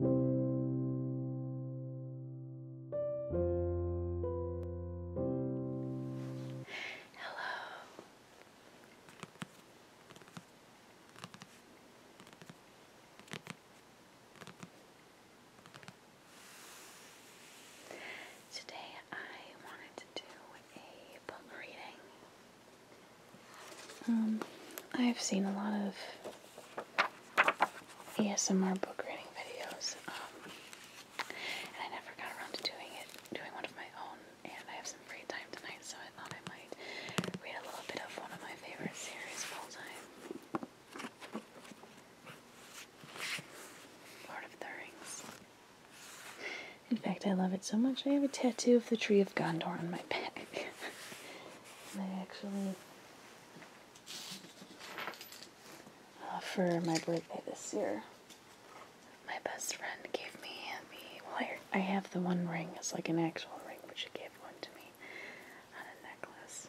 Hello. Today I wanted to do a book reading. Um, I've seen a lot of ASMR book reading videos, um, and I never got around to doing it, doing one of my own, and I have some free time tonight, so I thought I might read a little bit of one of my favorite series of all time. Lord of the Rings. In fact, I love it so much I have a tattoo of the Tree of Gondor on my back. I actually, uh, for my birthday this year, my best friend gave me the, well, I, I have the one ring, it's like an actual ring, but she gave one to me on a necklace.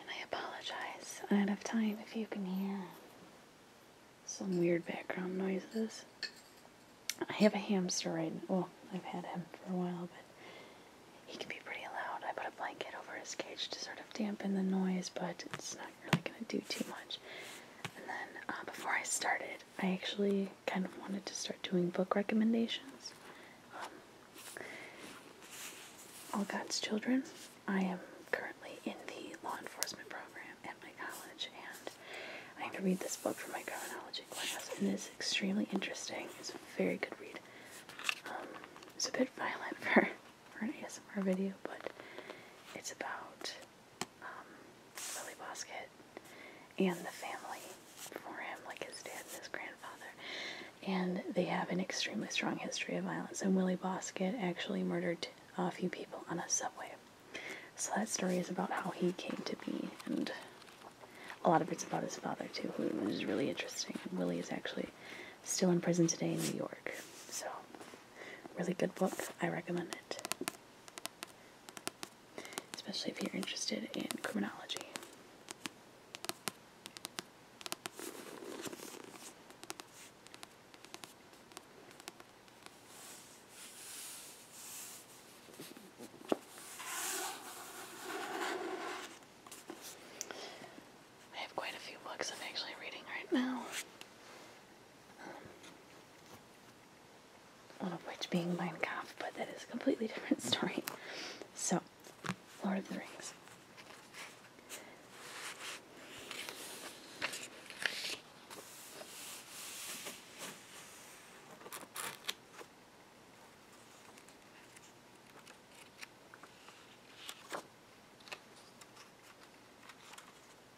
And I apologize. I don't have time if you can hear some weird background noises. I have a hamster right now. Well, I've had him for a while, but he can be pretty loud. I put a blanket over his cage to sort of dampen the noise, but it's not really gonna do too much. And then uh, before I started, I actually kind of wanted to start doing book recommendations. Um, All God's Children. I am currently in the law enforcement program at my college, and I have to read this book for my criminology class, and it's extremely interesting. It's a very good read. Um, it's a bit violent for, for an ASMR video, but it's about um, Lily Bosket and the family for him, like his dad and his grandfather. And they have an extremely strong history of violence. And Willie Bosket actually murdered a few people on a subway. So that story is about how he came to be, and a lot of it's about his father too, who is really interesting. Willie is actually still in prison today in New York. So Really good book. I recommend it. Especially if you're interested in criminology. I have quite a few books I'm actually reading right now. All of which being Minecraft, but that is a completely different story. So, Lord of the Rings.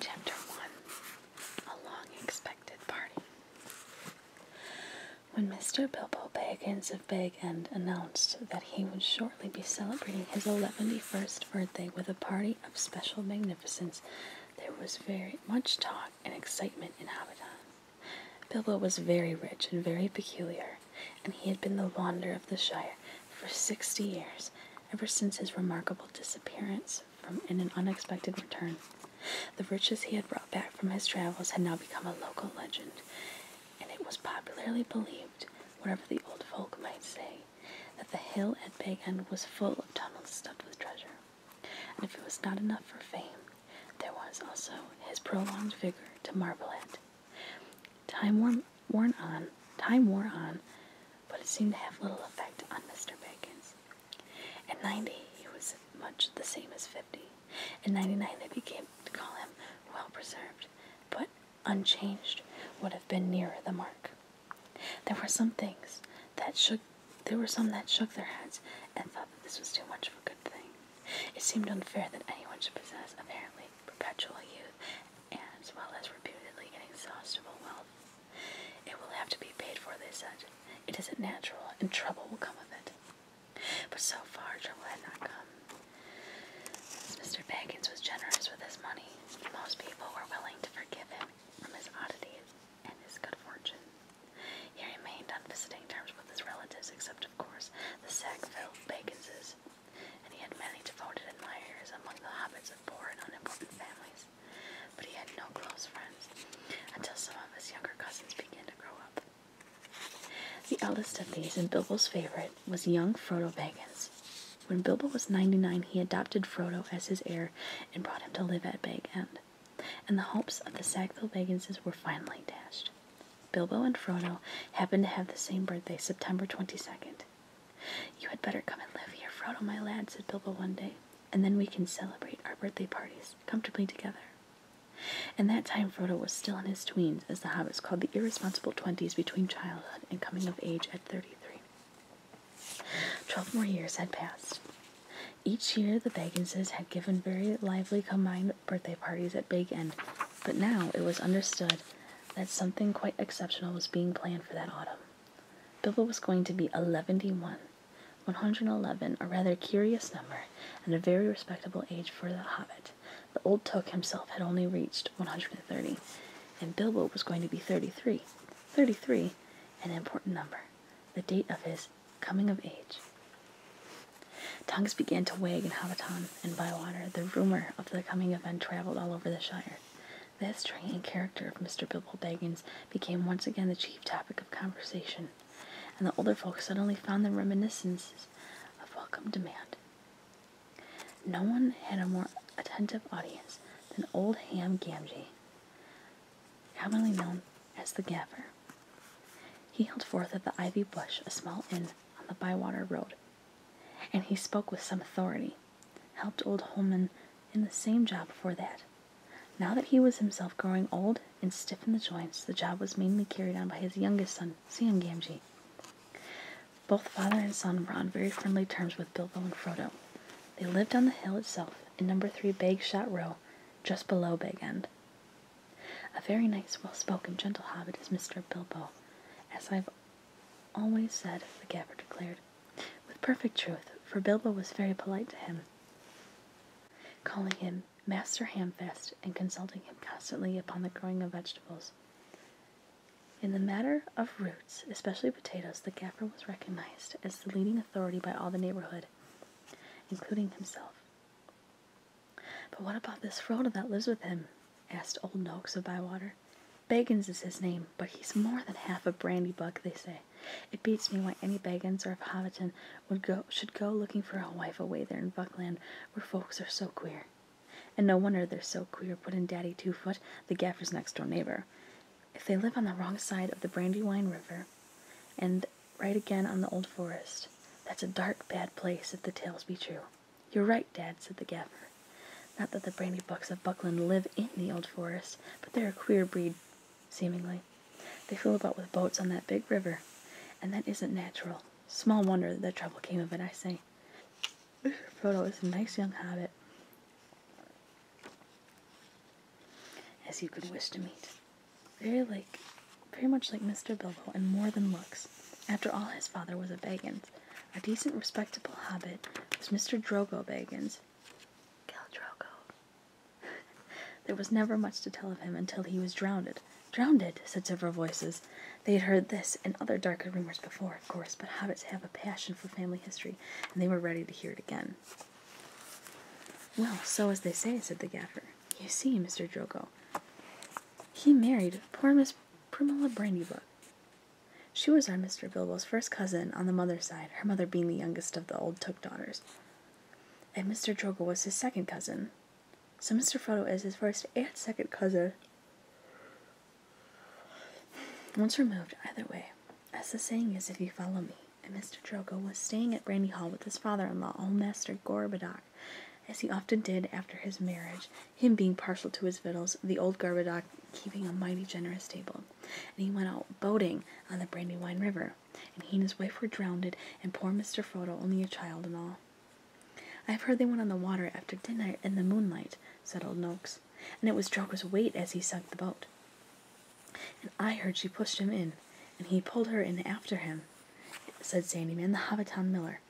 Chapter 1 A Long Expected Party. When Mr. Bilbo Baggins of Big End announced that he would shortly be celebrating his eleventy-first birthday with a party of special magnificence, there was very much talk and excitement in Hobbiton. Bilbo was very rich and very peculiar, and he had been the wonder of the Shire for 60 years, ever since his remarkable disappearance from in an unexpected return. The riches he had brought back from his travels had now become a local legend, and it was popularly believed, whatever the old folk might say, that the hill at Big was full of tunnels stuffed with treasure. And if it was not enough for fame, there was also his prolonged vigor to marvel at. Time wore worn on, time wore on, but it seemed to have little effect on Mr. Bacon's at 90, he was much the same as 50. At 99, they began to call him well preserved, but unchanged would have been nearer the mark. There were some things that shook. There were some that shook their heads and thought that this was too much of a good thing. It seemed unfair that anyone should possess apparently perpetual youth as well as reputedly inexhaustible wealth. It will have to be paid for, they said. It isn't natural, and trouble will come of it. But so far, trouble had not come. Since Mr. Baggins was generous with his money, most people were willing to forgive him from his oddities and his good fortune. He remained on visiting terms with his relatives, except, of course, the Sackville Bagginses, and he had many devoted admirers among the habits of poor and unimportant families. But he had no close friends until some of his younger cousins began to grow up. The eldest of these, and Bilbo's favorite, was young Frodo Baggins. When Bilbo was 99, he adopted Frodo as his heir and brought him to live at Bag End. And the hopes of the Sackville Bagginses were finally dashed. Bilbo and Frodo happened to have the same birthday, September 22nd. You had better come and live here, Frodo, my lad, said Bilbo one day, and then we can celebrate our birthday parties comfortably together. In that time, Frodo was still in his tweens, as the Hobbits called the irresponsible twenties between childhood and coming of age at 33. Twelve more years had passed. Each year, the Bagginses had given very lively combined birthday parties at Big End, but now it was understood that something quite exceptional was being planned for that autumn. Bilbo was going to be eleven and one, 111, a rather curious number, and a very respectable age for the hobbit. The old Toque himself had only reached 130, and Bilbo was going to be 33. 33, an important number, the date of his coming of age. Tongues began to wag in Hobbiton and Bywater. The rumor of the coming event traveled all over the Shire. The history and character of Mr. Bilbo Baggins became once again the chief topic of conversation and the older folks suddenly found them reminiscences of welcome demand. No one had a more attentive audience than old Ham Gamgee, commonly known as the Gaffer. He held forth at the Ivy Bush, a small inn on the Bywater Road, and he spoke with some authority, helped old Holman in the same job before that, now that he was himself growing old and stiff in the joints, the job was mainly carried on by his youngest son, Sam Gamgee. Both father and son were on very friendly terms with Bilbo and Frodo. They lived on the hill itself, in number three Bag Shot Row, just below Bag End. A very nice, well spoken, gentle hobbit is Mr. Bilbo, as I've always said, the gaffer declared, with perfect truth, for Bilbo was very polite to him, calling him him Master Hamfast and consulting him constantly upon the growing of vegetables. In the matter of roots, especially potatoes, the gaffer was recognized as the leading authority by all the neighborhood, including himself. But what about this Frodo that lives with him? asked old Noakes of Bywater. Baggins is his name, but he's more than half a brandy bug. they say. It beats me why any Baggins or of Hobbiton would go should go looking for a wife away there in Buckland where folks are so queer. And no wonder they're so queer, put in Daddy Two Foot, the gaffer's next door neighbor. If they live on the wrong side of the Brandywine River and right again on the old forest, that's a dark, bad place if the tales be true. You're right, Dad, said the gaffer. Not that the Brandybucks of Buckland live in the old forest, but they're a queer breed seemingly. They float about with boats on that big river, and that isn't natural. Small wonder that trouble came of it, I say. Frodo is a nice young hobbit, as you could wish to meet. Very like, pretty much like Mr. Bilbo, and more than looks. After all, his father was a Baggins, a decent, respectable hobbit was Mr. Drogo Baggins. Cal Drogo. there was never much to tell of him until he was drowned. Drowned, said several voices. They had heard this and other darker rumors before, of course, but hobbits have a passion for family history, and they were ready to hear it again. Well, so as they say, said the gaffer. You see, Mr. Drogo, he married poor Miss Primula Brandybuck. She was our Mr. Bilbo's first cousin on the mother's side, her mother being the youngest of the old Took daughters. And Mr. Drogo was his second cousin, so Mr. Frodo is his first and second cousin. Once removed, either way, as the saying is, if you follow me, and Mr. Drogo was staying at Brandy Hall with his father-in-law, old Master Gorbodoc, as he often did after his marriage, him being partial to his victuals, the old Gorbodoc keeping a mighty generous table, and he went out boating on the Brandywine River and he and his wife were drowned, and poor Mr. Frodo only a child and all. I have heard they went on the water after dinner in the moonlight, said old Noakes, and it was Drogo's weight as he sunk the boat. And I heard she pushed him in, and he pulled her in after him, said Sandyman, the Hobbiton miller.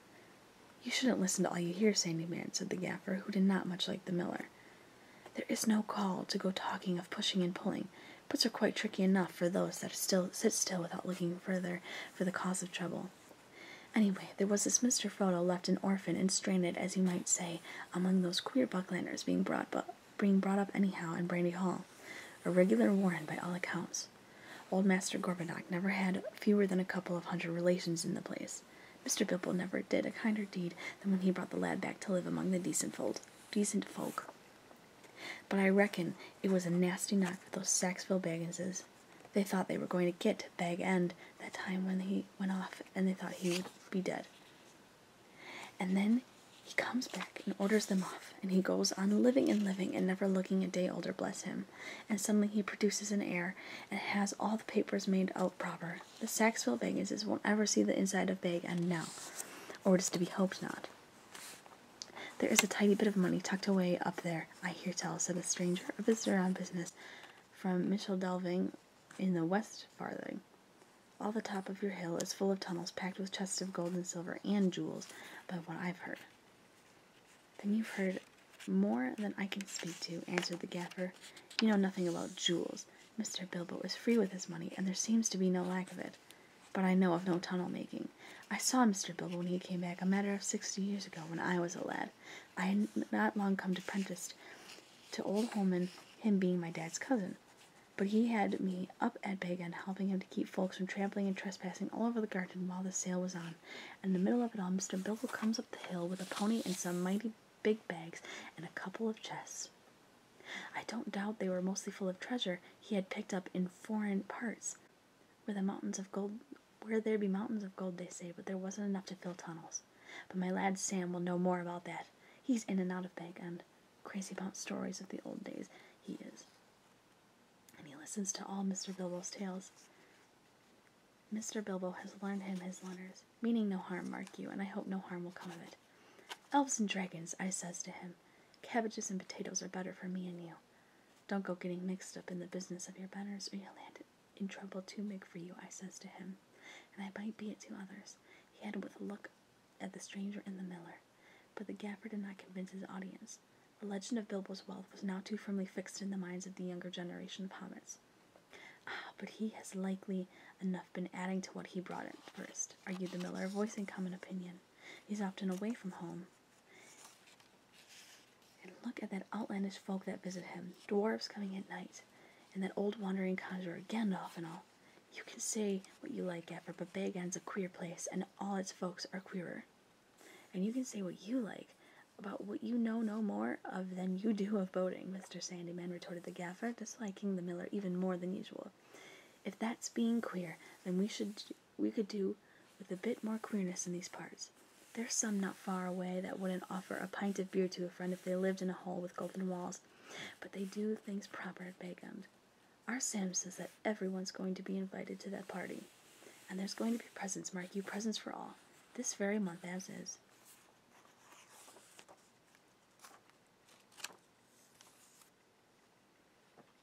You shouldn't listen to all you hear, Sandyman, said the gaffer, who did not much like the miller. There is no call to go talking of pushing and pulling. Puts are quite tricky enough for those that still sit still without looking further for the cause of trouble. Anyway, there was this Mr. Frodo left an orphan and stranded, as you might say, among those queer Bucklanders being brought, up anyhow in Brandy Hall. A regular warren by all accounts. Old Master Gorbodoc never had fewer than a couple of hundred relations in the place. Mr. Bibble never did a kinder deed than when he brought the lad back to live among the decent folk. Decent folk. But I reckon it was a nasty knock for those Saxville Bagginses. They thought they were going to get to Bag End that time when he went off, and they thought he would be dead. And then he comes back and orders them off, and he goes on living and living and never looking a day older, bless him. And suddenly he produces an heir and has all the papers made out proper. The Saxville Bagginses won't ever see the inside of Bag End now, or it is to be hoped not. There is a tidy bit of money tucked away up there, I hear tell, said a stranger, a visitor on business from Mitchell Delving in the West Farthing. All the top of your hill is full of tunnels packed with chests of gold and silver and jewels, by what I've heard. Then you've heard more than I can speak to, answered the gaffer. You know nothing about jewels. Mr. Bilbo is free with his money, and there seems to be no lack of it but I know of no tunnel making. I saw Mr. Bilbo when he came back, a matter of sixty years ago, when I was a lad. I had not long come to apprentice to old Holman, him being my dad's cousin. But he had me up at Big End, helping him to keep folks from trampling and trespassing all over the garden while the sale was on. in the middle of it all, Mr. Bilbo comes up the hill with a pony and some mighty big bags and a couple of chests. I don't doubt they were mostly full of treasure, he had picked up in foreign parts. Where the mountains of gold where there be mountains of gold, they say, but there wasn't enough to fill tunnels. But my lad Sam will know more about that. He's in and out of Bag End. Crazy about stories of the old days, he is. And he listens to all Mr. Bilbo's tales. Mr. Bilbo has learned him his letters, meaning no harm, mark you, and I hope no harm will come of it. Elves and dragons, I says to him, Cabbages and potatoes are better for me and you. Don't go getting mixed up in the business of your betters, or you'll land in trouble too big for you, I says to him, and I might be it to others, he added with a look at the stranger and the miller. But the gaffer did not convince his audience. The legend of Bilbo's wealth was now too firmly fixed in the minds of the younger generation of hobbits. Ah, but he has likely enough been adding to what he brought in first, argued the miller, voicing common opinion. He's often away from home, and look at that outlandish folk that visit him, dwarfs coming at night, and that old wandering conjurer Gandalf and all. You can say what you like, Gaffer, but Bagand's a queer place, and all its folks are queerer. And you can say what you like about what you know no more of than you do of boating, Mr. Sandyman retorted the Gaffer, disliking the miller even more than usual. If that's being queer, then we should we could do with a bit more queerness in these parts. There's some not far away that wouldn't offer a pint of beer to a friend if they lived in a hole with golden walls, but they do things proper at Bagum. Our Sam says that everyone's going to be invited to that party. And there's going to be presents, mark you, presents for all, this very month as is.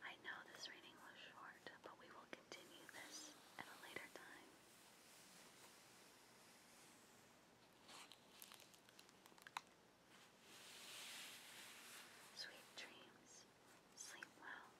I know this reading was short, but we will continue this at a later time. Sweet dreams. Sleep well.